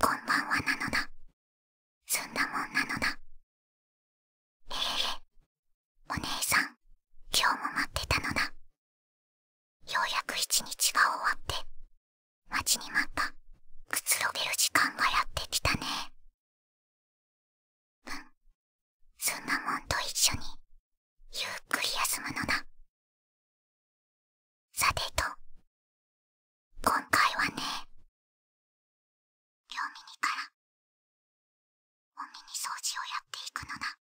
こんばんはなのだすんだもんなのだええお姉さん今日も待ってたのだようやく一日が終わって待ちに待ったくつろげる時間がやってきたねうんそんなもんと一緒にゆっくり休むのなさてと今回はね両耳からお耳掃除をやっていくのな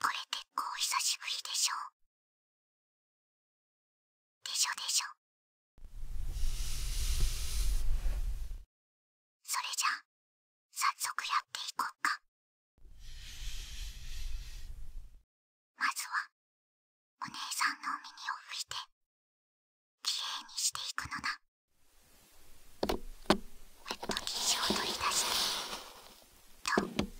これ結構久しぶりでしょう。でしょでしょそれじゃあ早速やっていこうかまずはお姉さんのお耳を拭いてきれいにしていくのだウットティシュを取り出しとお耳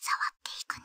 触っていくね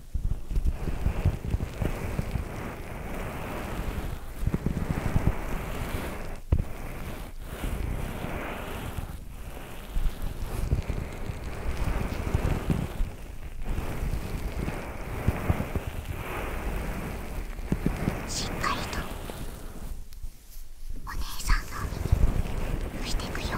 しっかりとお姉さんの身に拭いてくよ。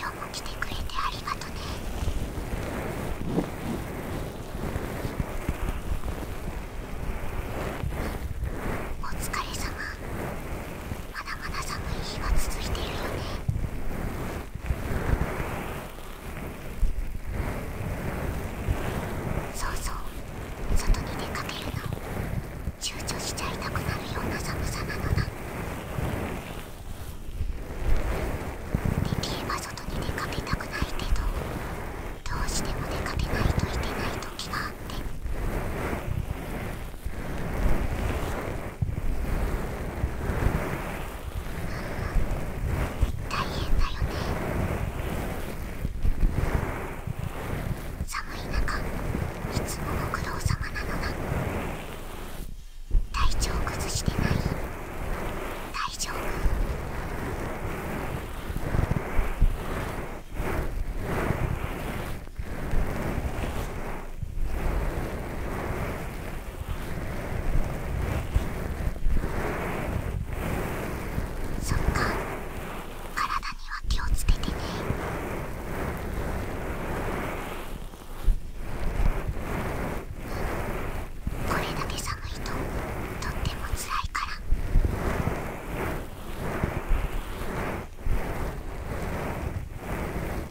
今日も来てくれてありがとねお疲れ様まだまだ寒い日は続いてるよねそうそう外に出かけるの躊躇しちゃいたくなるような寒さなのなできれば外に出かけたくないけどどうしても出かけないといけない時があって大変だよね寒い中いつもご苦労様なのだ体調崩してない大丈夫そっか体には気をつけてねこれだけ寒いととってもつらいから。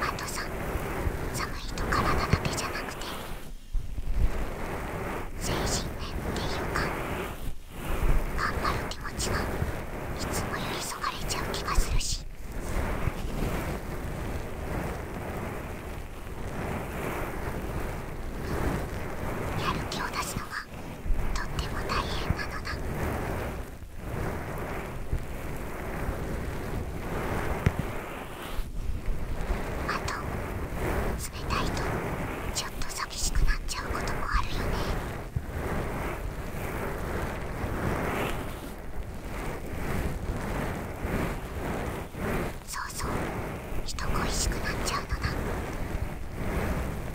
あとさ寒いと体だけじゃなくて精神面っていうか頑張る気持ちがいつもよりそがれちゃう気がするし。やる気を出すのがとっても大変なのだあと冷たいとちょっと寂しくなっちゃうこともあるよねそうそう人恋しくなっちゃうのだ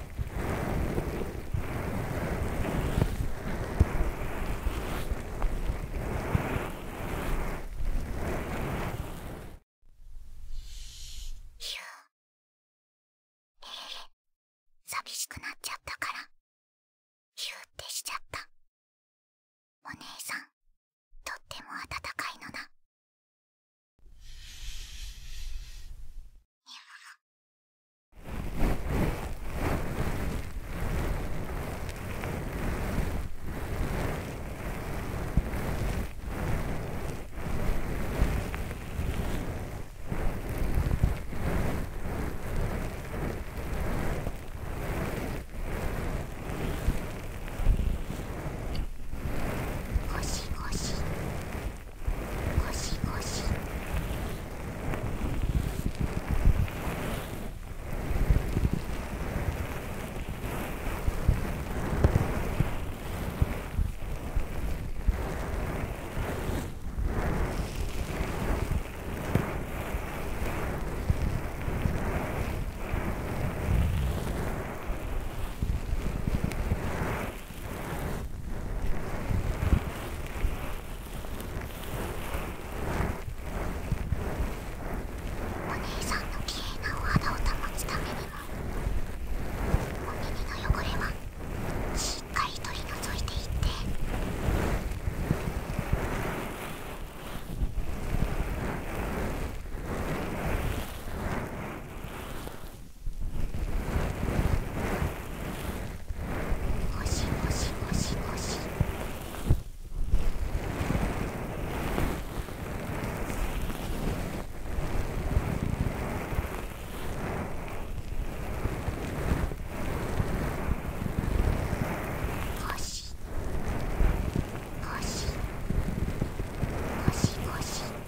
ええ寂しくなっちゃったからヒューってしちゃったお姉さんとっても温かいのだゴシゴシゴシゴシお姉さんの綺麗なお肌を保つためにもお耳の汚れはしっかり取り除いていってもしもし。ゴシゴシゴシゴシゴシゴシゴシゴシゴシゴシゴシゴシゴシゴシ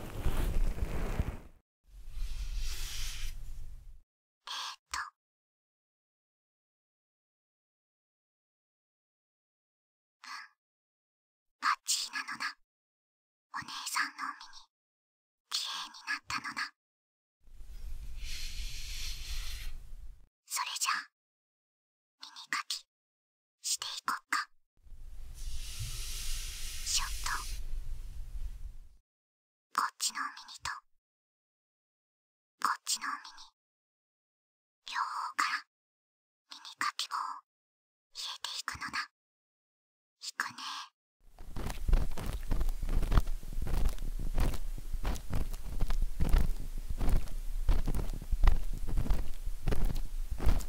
バッチリなのだお姉さんのお耳きれいになったのだそれじゃあ耳かきしていこっかシょっと、こっちの耳とこっちの耳両方から耳かき棒をえていくのだいくねー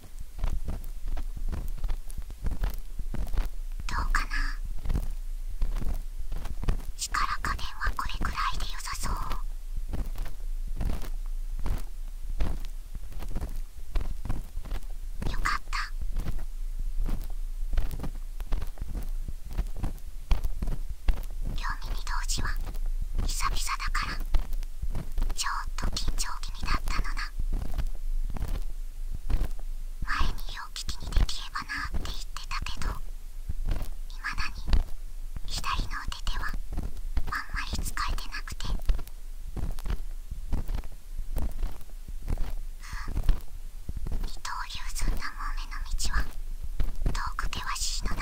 どうかな力加減はこれくらいで良さそうよかった読み耳同時は久々だからちょっと緊張気味だったのな前によう聞きにできればなって言ってたけどいまだに左の腕手はあんまり使えてなくて二刀流すんだもう目の道は遠く険しいのだ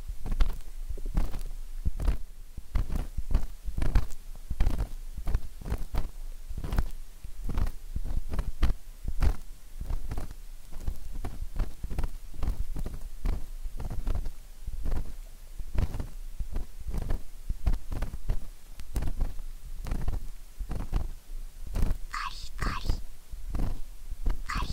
カリカリカリカリ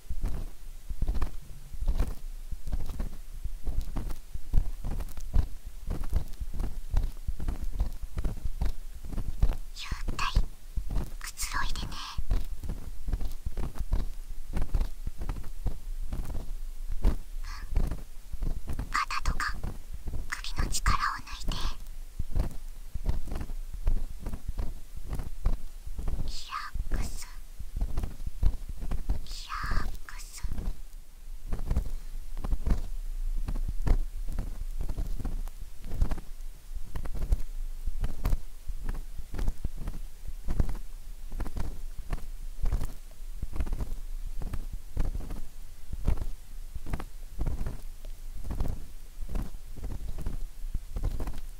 体くつろいでねうん肩とか首の力を抜いて。ラックスリラックス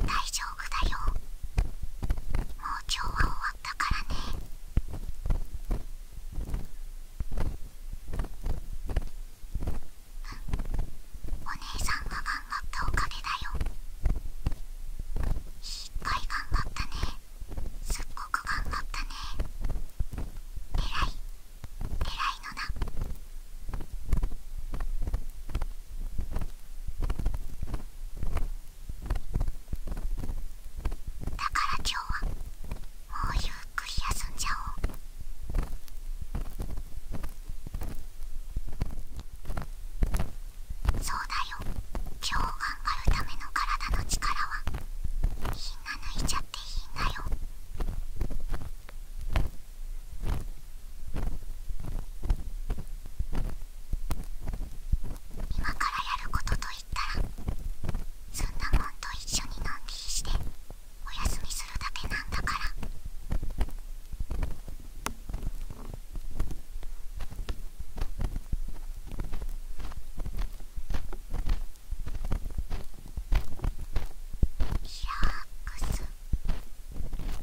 大丈夫だよもう今日は終わったからねお姉さんが頑張ったおかげだよいっぱい頑張ったねすっごく頑張ったねえらい偉いのだだから今日はもうゆっくり休んじゃおう。そうだよ今日頑張るための体の力はみんな抜いちゃっていいんだよ今からやることといったらそんなもんと一緒にのんびりしてお休みするだけなんだから。リラックス。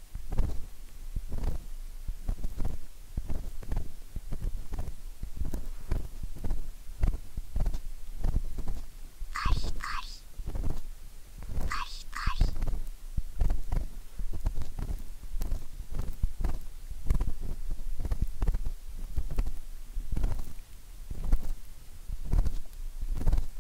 カリカリカリカリ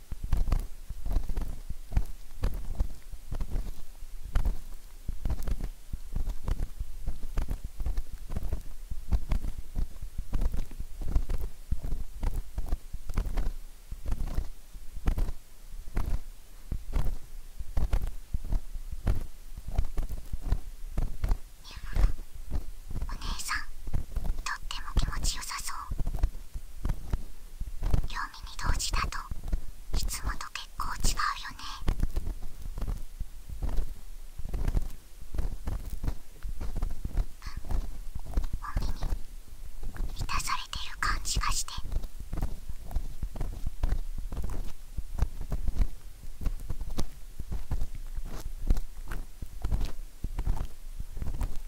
お姉さんとっても気持ちよさそう耳同時だといつもと結構違うよねおに満たされてる感じがして。耳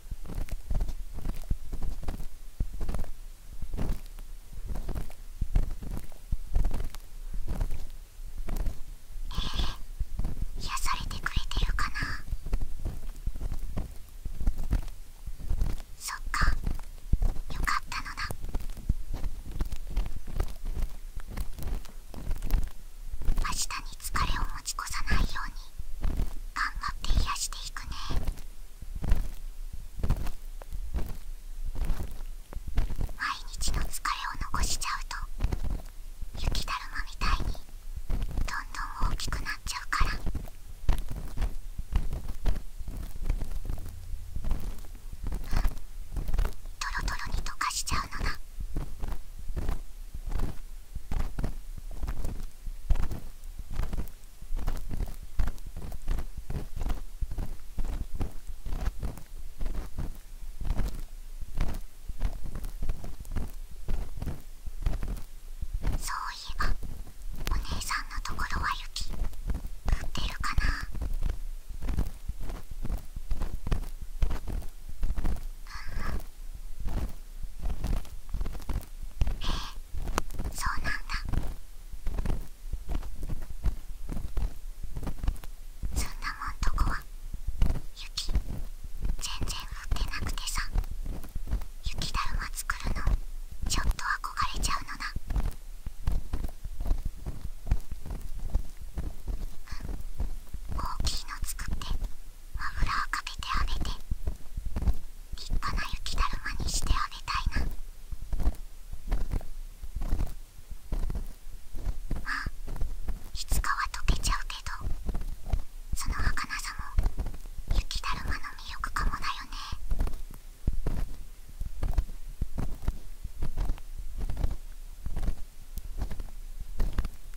え、癒されてくれてるかなそっかよかったのだ明日に疲れをもらた持ち越さないように頑張って癒していくね毎日の疲れを残しちゃうと雪だるまみたいにどんどん大きくなっちゃうからトロトロに溶かしちゃうのだ。そういえばお姉さんのところは雪降ってるかなんえそうなんだそんなもんとこは雪全然降ってなくてさ雪だるま作るのちょっと憧れちゃうのだ大きいの作って油をかけてあげて立派な雪だるまにしてあげたいなまあいつかは溶けちゃうけどその儚さも雪だるまの魅力かもだよね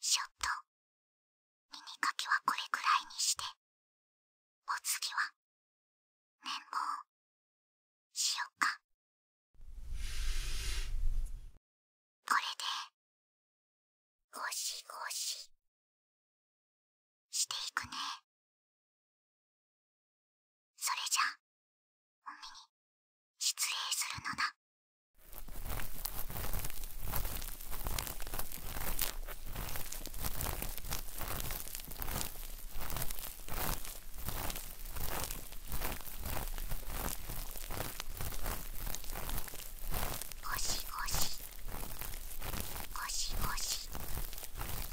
ちょっと耳かきはこれくらいにしてお次は綿棒しよっかこれでゴシゴシしていくねそれじゃおみに失礼するのだゴシゴシゴシゴシ。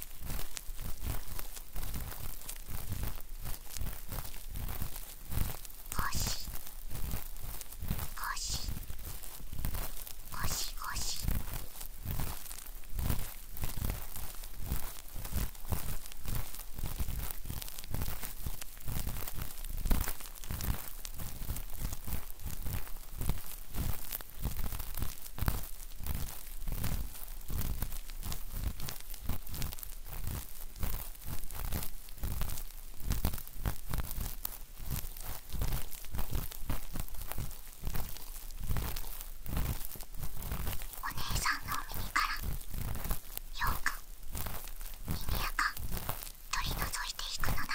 ゴシゴシゴシゴシお姉さんの耳からようか耳やか取り除いていくのだ。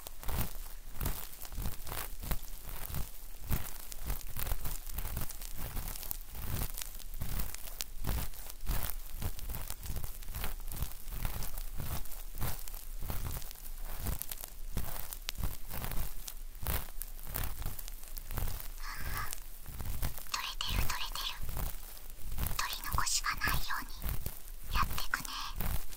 取れてる取れてる取り残しがないようにやってくね。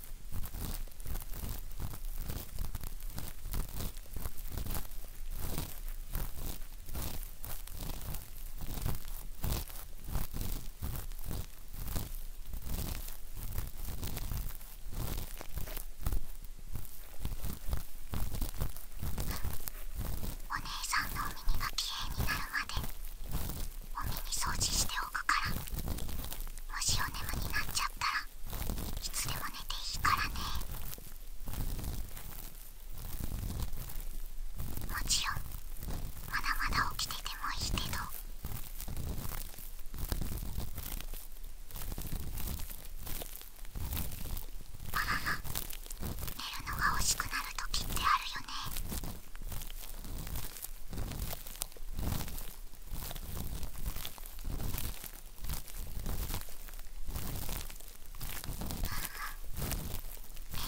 お姉さんのお耳がきれいになるまでお耳掃除しておくからもしおねむになっちゃったらいつでも寝ていいからねもちろんまだまだ起きててもいいけどあらら寝るのが惜しくなる時ってあるよね寝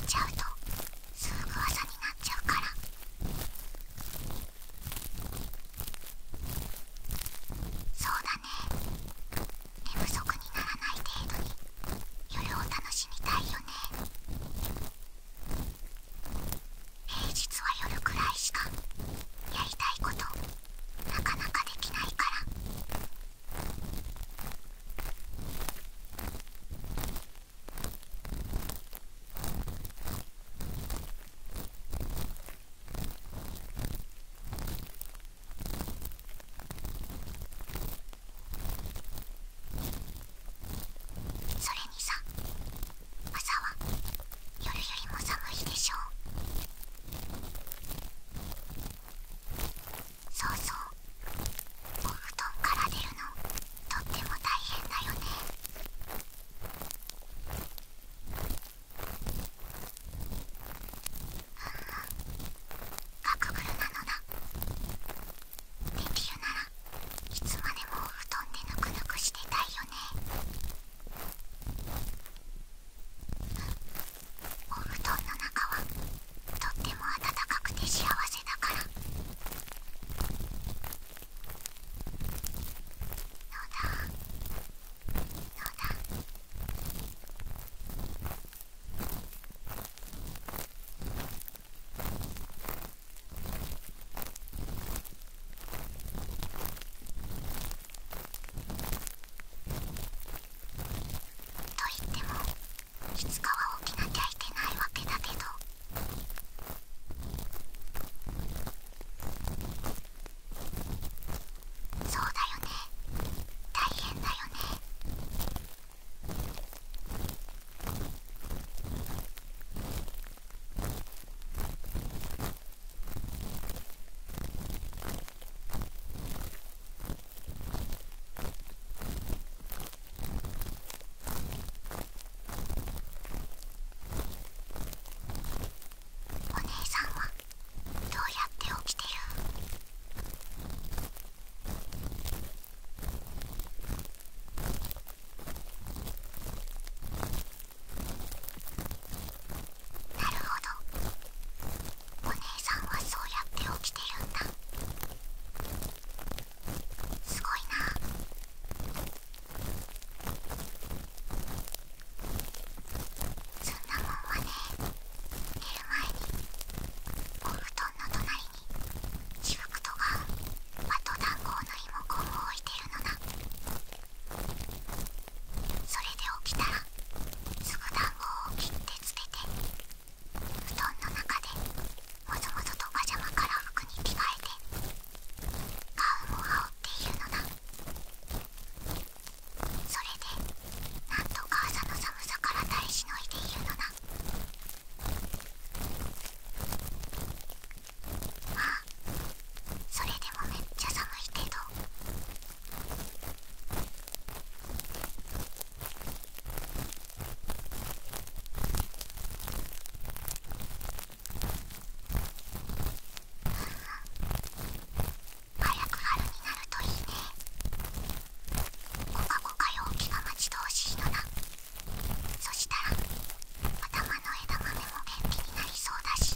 ちゃうとすぐ朝になっちゃうから。そうだね寝不足にならない程度に夜を楽しみたいよね平日は夜くらいしかやりたいことなかなかできないからそれにさ朝は夜よりも寒いでしょうそうそうお布団から出るのとっても大変だよねうんガクブルなのだできるならいつまでもお布団でぬくぬくしてたいよねお布団の中はとっても暖かくて幸せだからのだのだといってもいつかは起きなきゃいけないわけだけど。そうだよね大変だよねお姉さんはどうやって起きてるなるほどお姉さんはそうやって起きてるんだすごいなそんなもんはね寝る前にお布団の隣に私服とかあと団子のリモコンを置いてる。それで起きたらすぐ団子を切って捨てて布団の中でもぞもぞとパジャマから服に着替えて花粉を羽織っているのだそれでなんとか朝の寒さから耐えしのいでいるのだあそれでもめっちゃ寒いけど早く春になるといいねコカコカ陽気が待ち遠しいのだ。そしたら頭の枝豆も元気になりそうだし。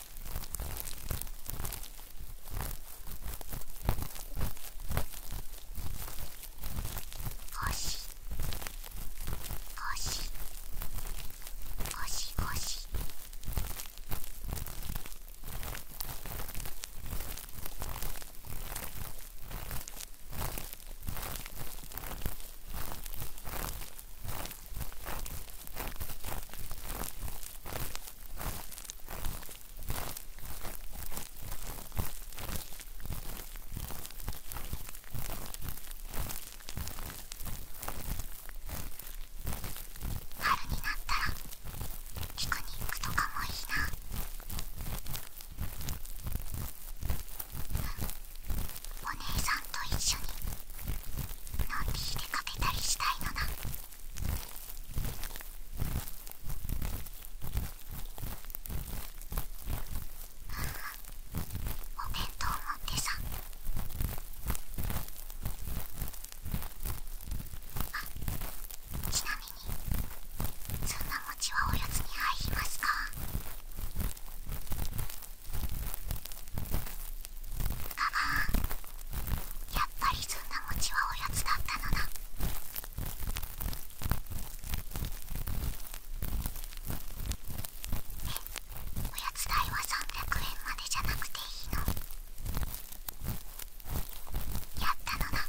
ゴシゴシゴシゴシゴシシゴシシ春になったらピクニックとかもいいなお姉さんと一緒にのんびり出かけたりしたいのだ。お弁当持ってさあちなみにそんな餅はおやつに入りますかああやっぱりずんだ餅はおやつだったのだおやつ代は300円までじゃなくていいのやったのだ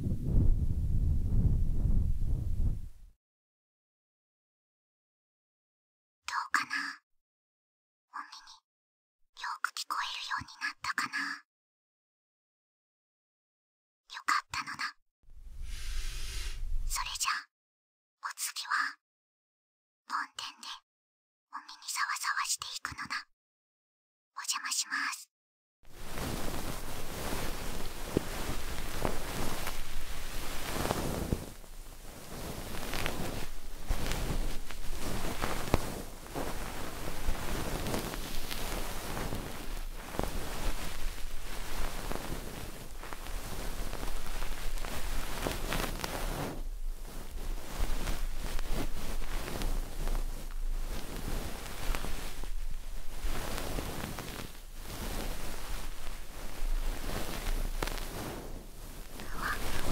どうかなお耳によく聞こえるようになったかなよかったのだそれじゃお次は梵天でお耳にさわさわしていくのだお邪魔します。ふわふわふ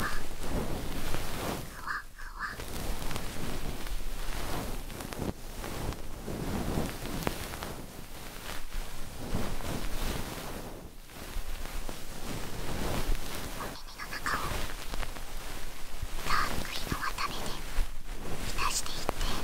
わふわ。お耳の中をダーク日のたりで浸していって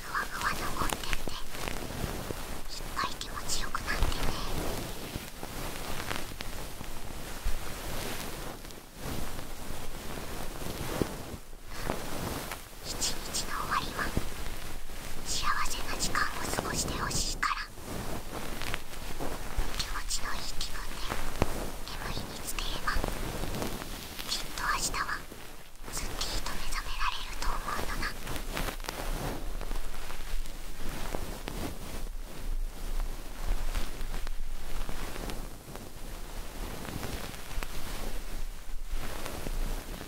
ふわふわのコンテンツっぱい気持ちよくなってね一日の終わりは幸せな時間を過ごしてほしいから気持ちのいい気分で眠りにつければきっと明日はすっきりと目覚められると思うのだ「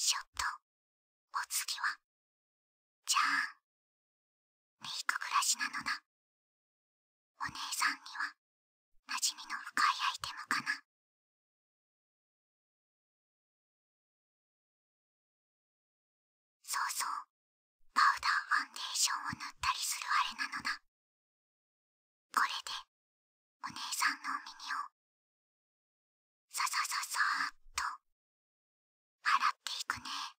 ショットお次はじゃあメイク暮らしなのだお姉さんには馴染みの深いアイテムかなそうそうパウダーファンデーションを塗ったりするあれなのだこれでお姉さんのお耳をささささっと洗っていくね「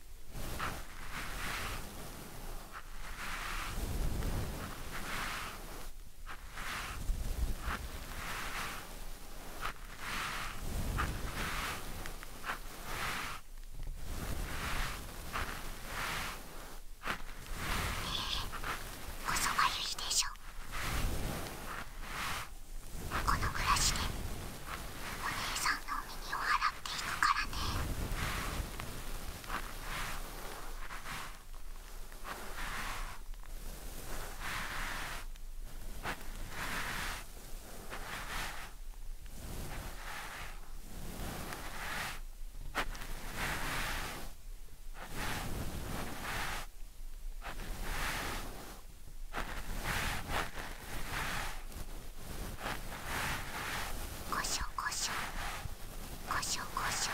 こそがいでしょこの暮らしでお姉さんのにを払っていくからね「こしょこしょこしょこしょこし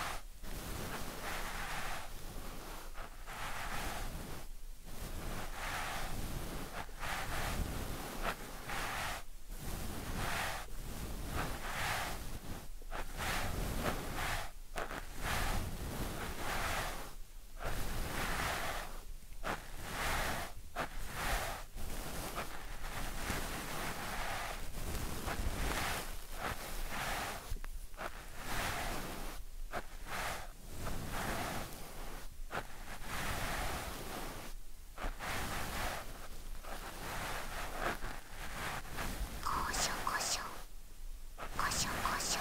こしょこしょこしょこしょ。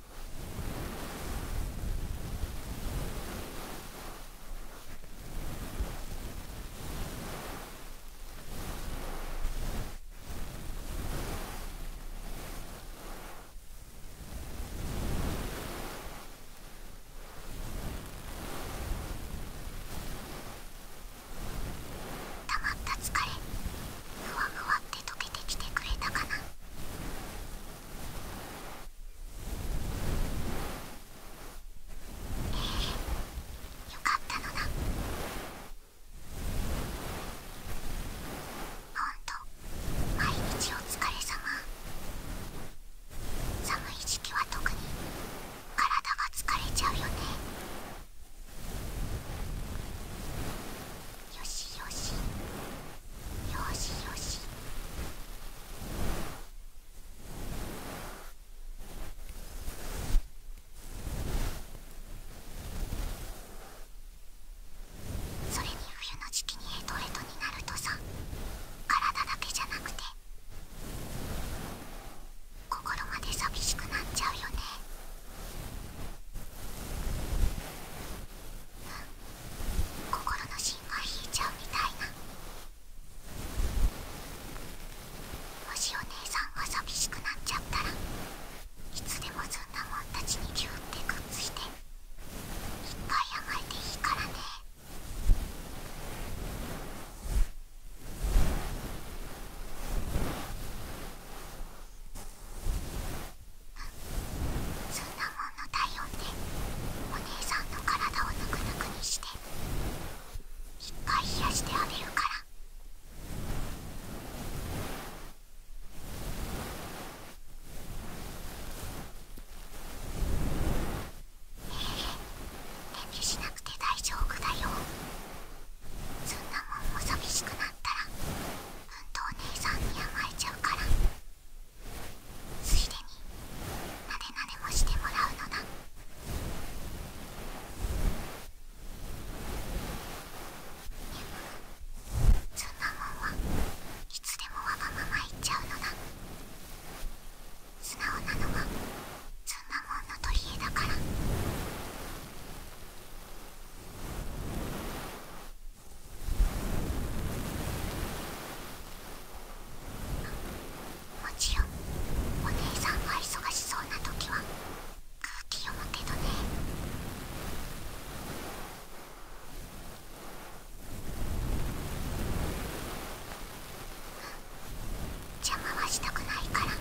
たまった疲れふわふわって溶けてきてくれたかなええ、よかったのだほんと毎日お疲れ様寒い時期は特に体が疲れちゃうよねよしよしよしよしそれに冬の時期にヘとヘとになるとさ体だけじゃなくて心まで寂しくなっちゃうよね心の芯が引いちゃうみたいなもしお姉さんが寂しくなっちゃったらいつでもずんだもんたちにギュってグッズしていっぱい甘えていいからねそんなもんの体温でお姉さんの体をぬくぬくにして一回冷やしてあげるから。ええ遠慮しなくて大丈夫だよそんなもんも寂しくなったらとお姉さんに甘えちゃうからついでになでなでもしてもらうのだでもそんなもんはいつでもわがまま言っちゃうのだ素直なのはそんなもんの取り柄だからもちろんお姉さんが忙しそうな時は空気読むけどね邪魔はしたくないから。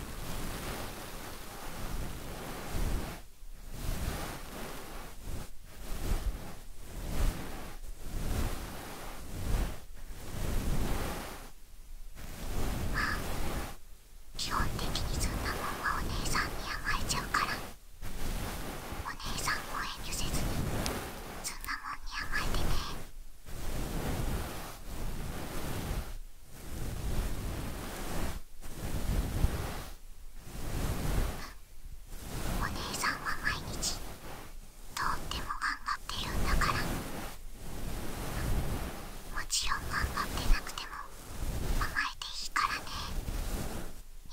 まあ基本的にそんなもんはお姉さんに甘えちゃうからお姉さんを遠慮せずにそんなもんに甘えてねお姉さんは毎日とっても頑張ってるんだからもちろん頑張ってなくても甘えていいからねお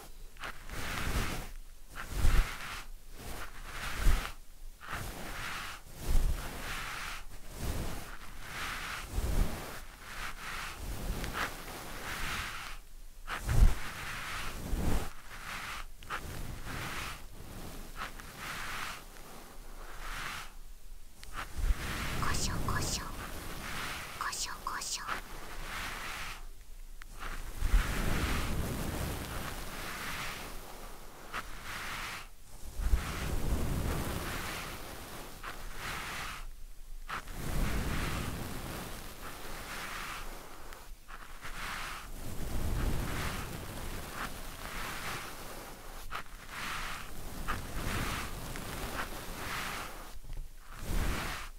こしょこしょこしょ胡椒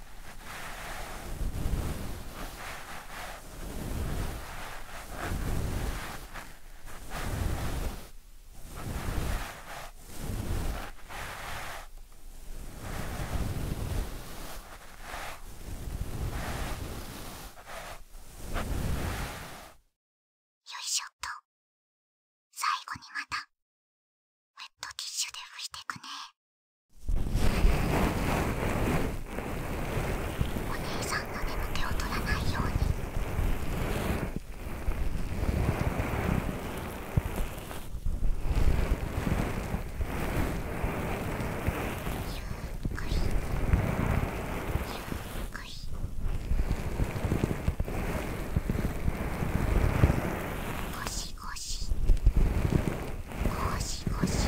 よいしょっと最後にまたウェットティッシュで拭いてくね。お姉さんの眠気を取らないように。ゆっくりゆっくり腰しごしごしごし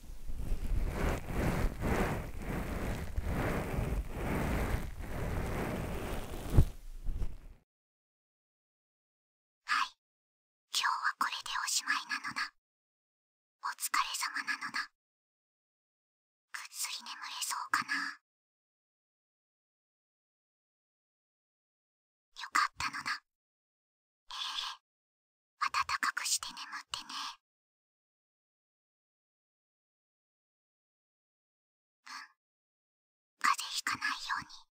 はい今日はこれでおしまいなのだお疲れ様なのだぐっすり眠れそうかなよかったのだえ温かくして眠ってねうん風邪ひかないように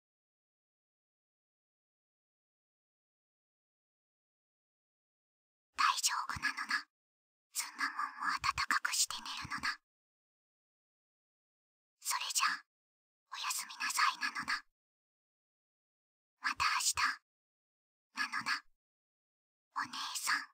大丈夫なのなそんなもんを温かくして寝るのなそれじゃおやすみなさいなのなまた明日なのだお姉さん